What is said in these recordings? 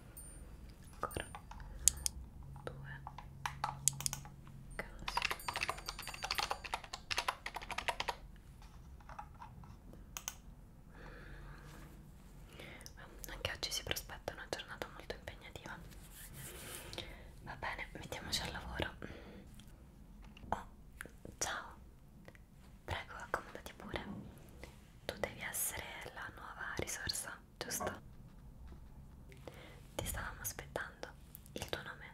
ancora due casi anche oggi si prospetta una giornata molto impegnativa va bene mettiamoci al lavoro oh, ciao prego accomodati pure tu devi essere la nuova risorsa giusto? Ti stavamo aspettando il tuo nome?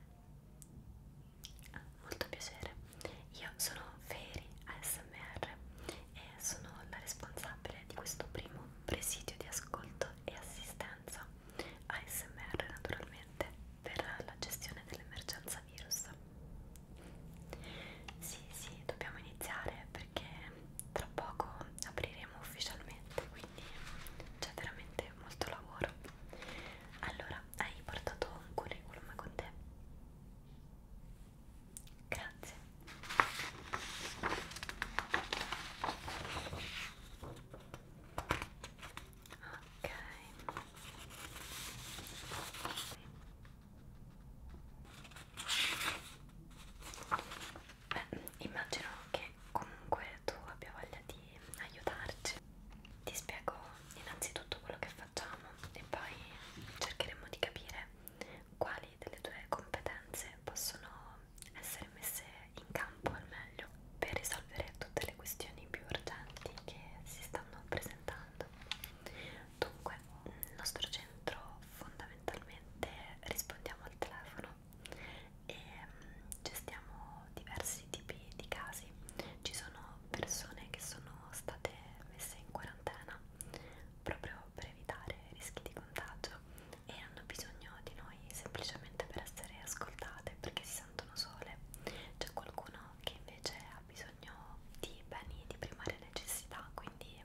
Ah, molto piacere, io sono Feri ASMR e sono la responsabile di questo primo presidio di ascolto e assistenza ASMR naturalmente per la gestione dell'emergenza virus. Sì, sì, dobbiamo iniziare perché tra poco apriremo ufficialmente quindi c'è veramente molto lavoro allora hai portato un curriculum con te? grazie ok Beh, immagino che comunque tu abbia voglia di aiutarci. Ti spiego innanzitutto quello che facciamo e poi cercheremo di capire quali delle tue competenze possono essere messe in campo al meglio per risolvere tutte le questioni più urgenti che si stanno presentando. Dunque, il nostro centro fondamentalmente rispondiamo al telefono e mm, gestiamo diversi tipi di casi. Ci sono persone che sono state messe in quarantena proprio per evitare rischi di contagio e hanno bisogno di noi semplicemente per essere ascoltate perché si sentono sole. C'è qualcuno che invece ha bisogno di beni di primaria necessità, quindi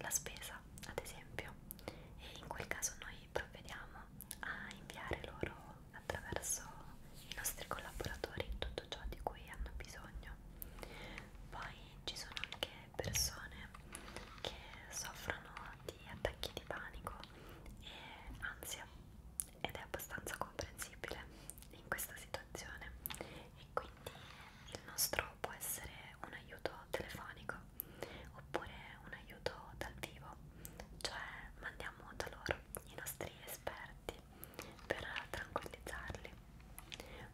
la spesa, ad esempio, e in quel caso noi provvediamo a inviare loro attraverso i nostri collaboratori tutto ciò di cui hanno bisogno. Poi ci sono anche persone che soffrono di attacchi di panico e ansia ed è abbastanza comprensibile in questa situazione e quindi il nostro può essere un aiuto telefonico oppure un aiuto dal vivo, cioè mandiamo da loro i nostri esperti per tranquillizzarli.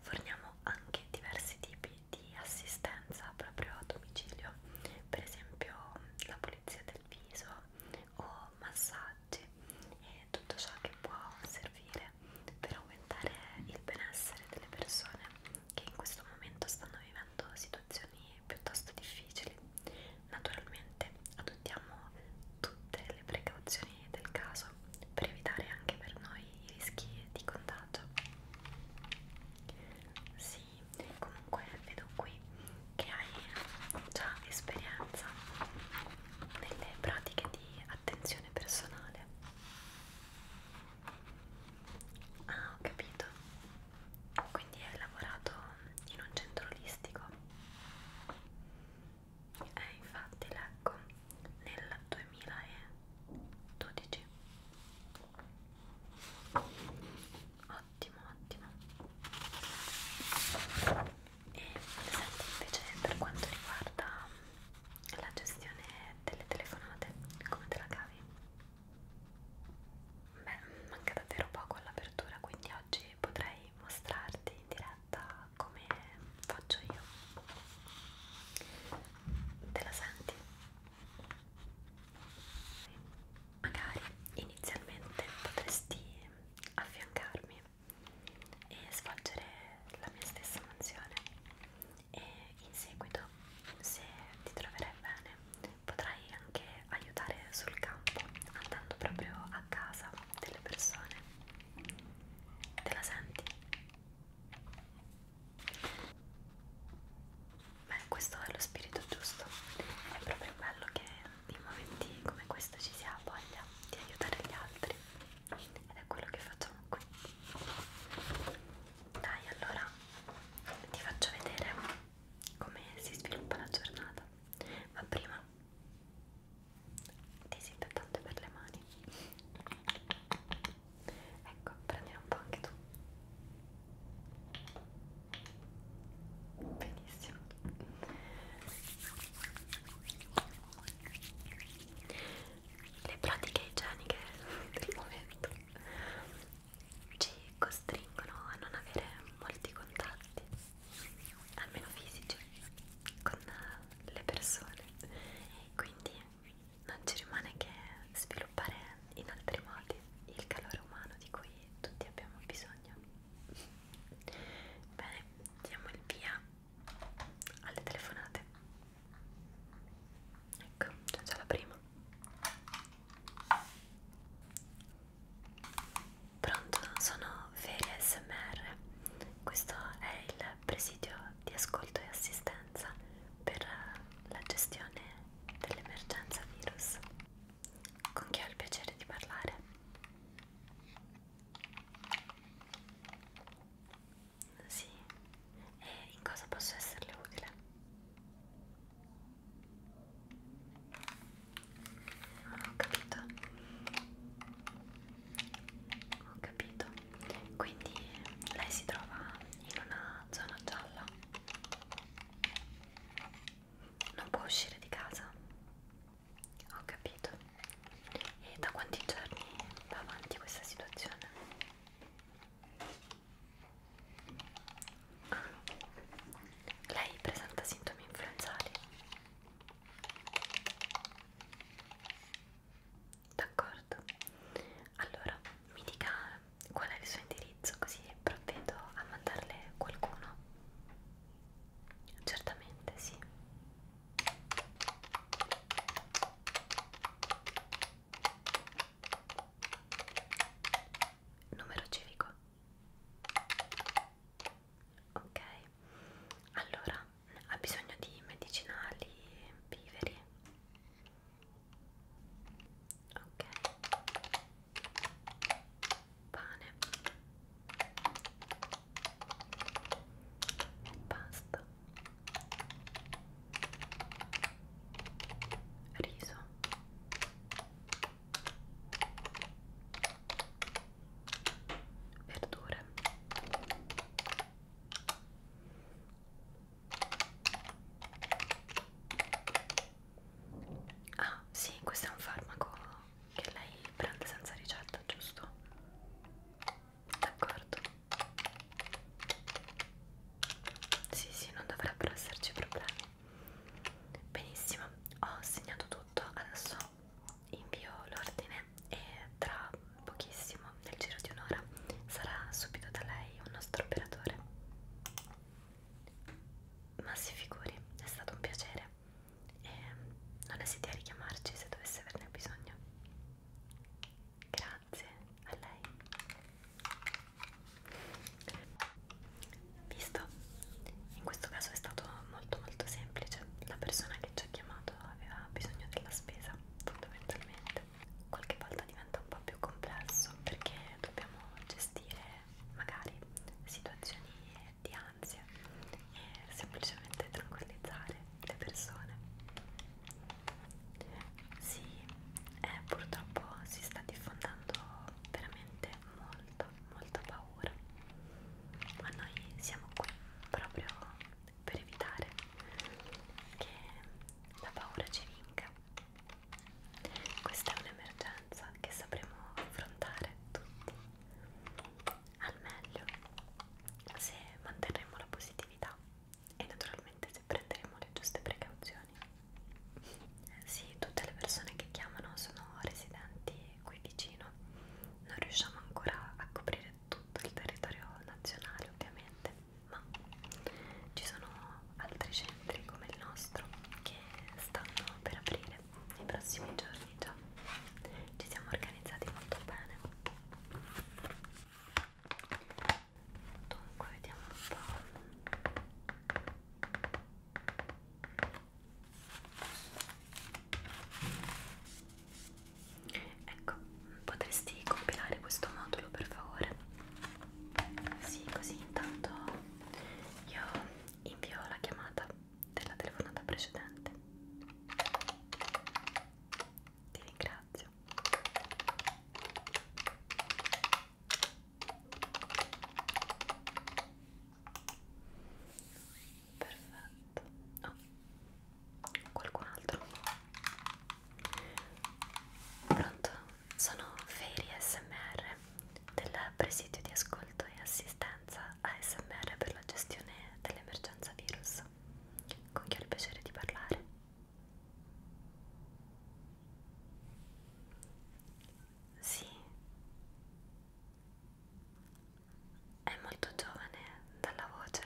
Forniamo anche diversi tipi di assistenza proprio a domicilio, per esempio la pulizia del viso o massaggi e tutto ciò che può servire per aumentare il benessere delle persone che in questo momento stanno vivendo situazioni piuttosto difficili. Naturalmente adottiamo tutte le precauzioni del caso per evitare anche per noi i rischi di contagio. Sì, comunque vedo qui che hai già esperienza nelle pratiche di attenzione personale Ah, ho capito. Quindi hai lavorato in un centro olistico? Eh, infatti, leggo, nel 2012. Ottimo, ottimo. E senti invece per quanto riguarda la gestione delle telefonate, come te la cavi? Beh, manca davvero poco all'apertura, quindi oggi potrei mostrarti in diretta come faccio io. Te la senti? Magari inizialmente potresti affiancarmi e svolgere la mia stessa mansione e in seguito se ti troverai bene potrai anche aiutare sul campo andando proprio a casa delle persone te la senti? beh questo è lo spirito giusto è proprio bello che in momenti come questo ci sia voglia di aiutare gli altri ed è quello che facciamo qui dai allora ti faccio vedere come si sviluppa la giornata ma prima disinfettante per le mani ecco prendi un po' anche tu benissimo le pratiche igieniche del momento ci costringono a non avere molti contatti, almeno fisici, con le persone e quindi non ci rimane che sviluppare in altri modi il calore umano di cui tutti abbiamo bisogno. Bene, diamo il via alle telefonate ecco c'è già la prima pronto sono Veri SMR questo è il presidio di ascolto e assistenza per la gestione dell'emergenza virus con chi ho il piacere di parlare sì, e in cosa posso esserle utile? Ho capito, ho capito. Quindi lei si trova in una zona gialla. Non può uscire di casa. Ho capito. E da quanti giorni va avanti questa situazione? Ah. Lei presenta sintomi influenzali? D'accordo. Allora, mi dica qual è il suo indirizzo così provvedo a mandarle qualcuno. Certamente sì. Numero civico. Ok, allora ha bisogno di medicinali, viveri. Ok pane pasta riso verdure Ah, sì, questo è un farmaco che lei prende senza ricetta, giusto? D'accordo. Sì, sì, non dovrebbero esserci problemi. Benissimo, ho segnato tutto, adesso invio l'ordine e tra pochissimo, nel giro di un'ora, sarà subito da lei un nostro operatore. Ma si figuri, è stato un piacere e ehm, non esiti a richiamarci se dovesse averne bisogno. Grazie a lei. Visto? In questo caso è stato molto molto semplice. La persona che ci ha chiamato aveva bisogno della spesa, fondamentalmente. Qualche volta diventa un po' più complesso perché dobbiamo gestire magari situazioni di ansia l'ansia e semplicemente tranquillizzare le persone. Sì, eh, purtroppo si sta diffondendo veramente molto, molta paura, ma noi siamo qui proprio per evitare che la paura ci vinca. Questa è un'emergenza conoscenza che sapremo affrontare tutti al meglio se manterremo la positività e naturalmente se prenderemo le giuste precauzioni. Sì, tutte le persone che chiamano sono residenti qui vicino, non riusciamo ancora a coprire tutto il territorio nazionale ovviamente, ma ci sono altri centri come il nostro che stanno per aprire fare nei prossimi giorni già ci siamo organizzati molto bene dunque vediamo un po' ecco potresti compilare questo modulo per favore sì così intanto io invio la chiamata della telefonata precedente. Ti ringrazio. Perfetto. Oh. Qualcun altro? Pronto? Sono Fairy SMR del presidio di ascolto e assistenza ASMR per la gestione dell'emergenza virus, con chi ho il piacere di parlare. Sì, è molto giovane dalla voce.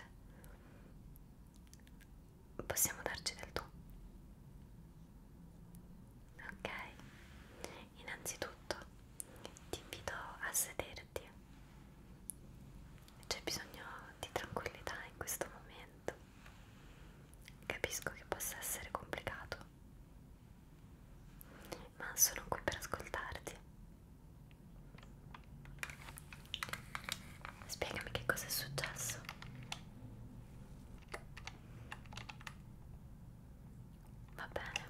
Possiamo darci del tu. Ok, innanzitutto ti invito a sederti, c'è bisogno di tranquillità in questo momento, capisco che possa essere complicato, ma sono qui per ascoltarti. Spiegami che cosa è successo. Va bene.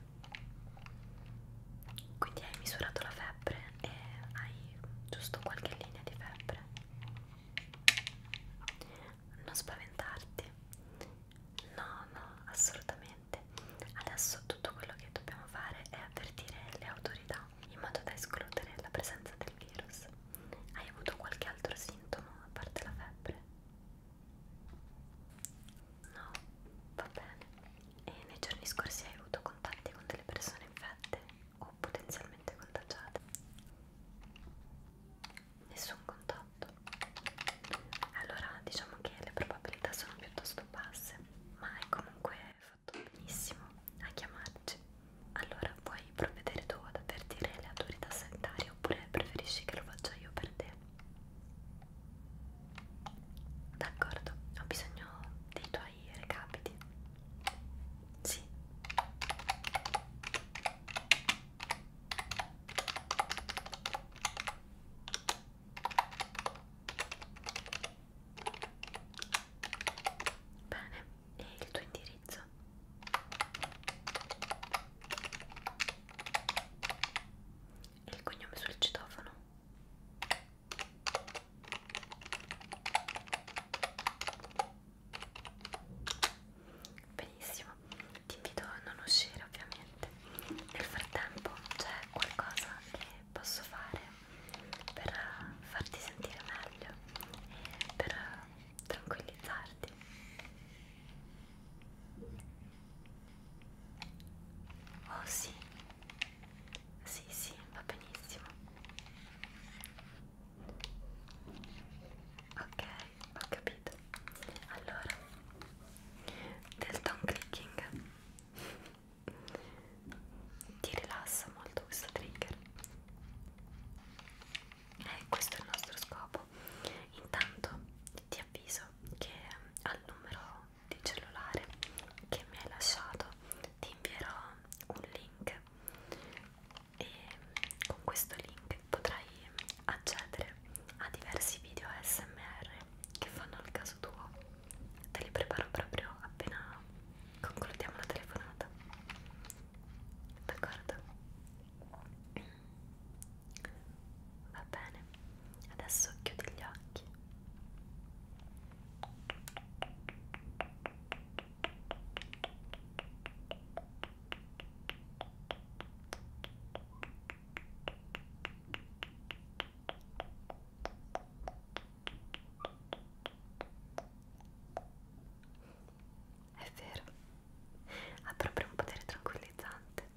Quindi hai misurato la febbre e hai giusto qualche linea di febbre. Non spaventarti. No, no, assolutamente. Adesso tutto quello che dobbiamo fare è avvertire le autorità in modo da escludere la presenza del virus. Hai avuto qualche altro sintomo a parte la febbre? No, va bene. E nei giorni scorsi hai avuto contatti con delle persone infette o potenzialmente contagiate? Nessun contatto. Allora diciamo che le probabilità sono piuttosto basse, ma hai comunque fatto benissimo a chiamarci. Allora puoi provvedere tu ad avvertire le autorità sanitarie oppure preferisci che lo faccia io per te? D'accordo, ho bisogno dei tuoi recapiti. Sì. Bene, e il tuo indirizzo? indirizzo il cognome sul citofono benissimo ti invito a non uscire ovviamente nel frattempo c'è qualcosa che posso fare per farti sentire meglio e per tranquillizzarti oh sì sì sì va benissimo ok ho capito allora del tongue clicking ti rilassa molto questo trigger eh, questo è il nostro scopo intanto ti avviso che ehm, al numero di cellulare che mi hai lasciato ti invierò un link e con questo link potrai accedere a diversi video ASMR che fanno al caso tuo te li preparo proprio appena concludiamo la telefonata d'accordo? Va bene, adesso chiudi gli occhi. È vero, ha proprio un potere tranquillizzante.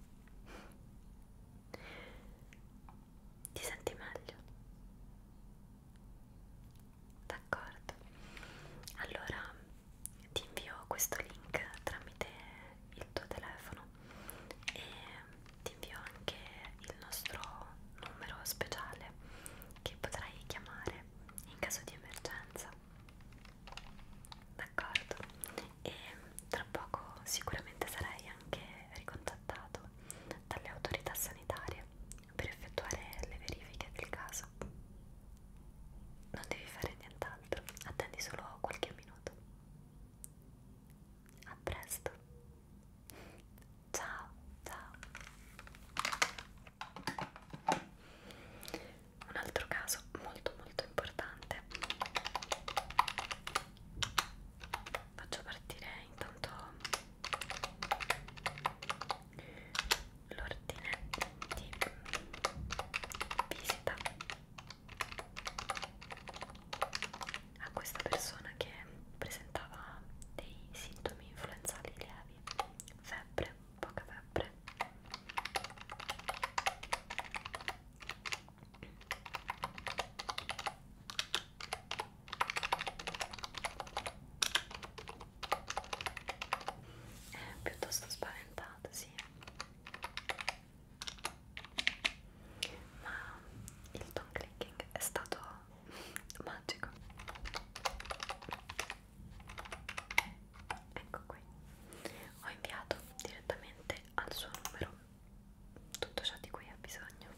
Ti senti meglio? D'accordo. Allora ti invio questo link tramite il tuo telefono e ti invio anche il nostro numero speciale che potrai chiamare in caso di emergenza d'accordo? E tra poco sicuramente sarai anche ricontattato dalle autorità sanitarie per effettuare le verifiche del caso. Non devi fare nient'altro, attendi solo qualche minuto. A presto. Ciao, ciao. Un altro caso molto molto importante. Faccio partire intanto l'ordine di visita a questa persona che presentava dei sintomi influenzali lievi, febbre, poca febbre è eh, piuttosto spaventato, sì ma il tongue clicking è stato magico ecco qui ho inviato direttamente al suo numero tutto ciò di cui ha bisogno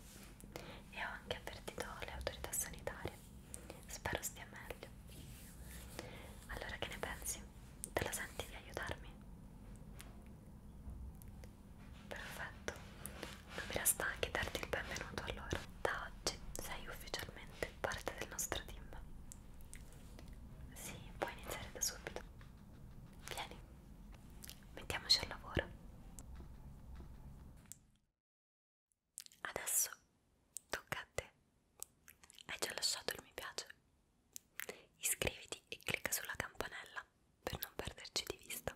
e ho anche avvertito le autorità sanitarie spero stia meglio allora che ne pensi? te la senti di aiutarmi? perfetto non mi resta che darti il benvenuto allora da oggi sei ufficialmente assolutamente parte del nostro team. Sì, puoi iniziare da subito. Vieni, mettiamoci al lavoro. Adesso tocca a te. Hai già lasciato il mi piace? Iscriviti e clicca sulla campanella per non perderci di vista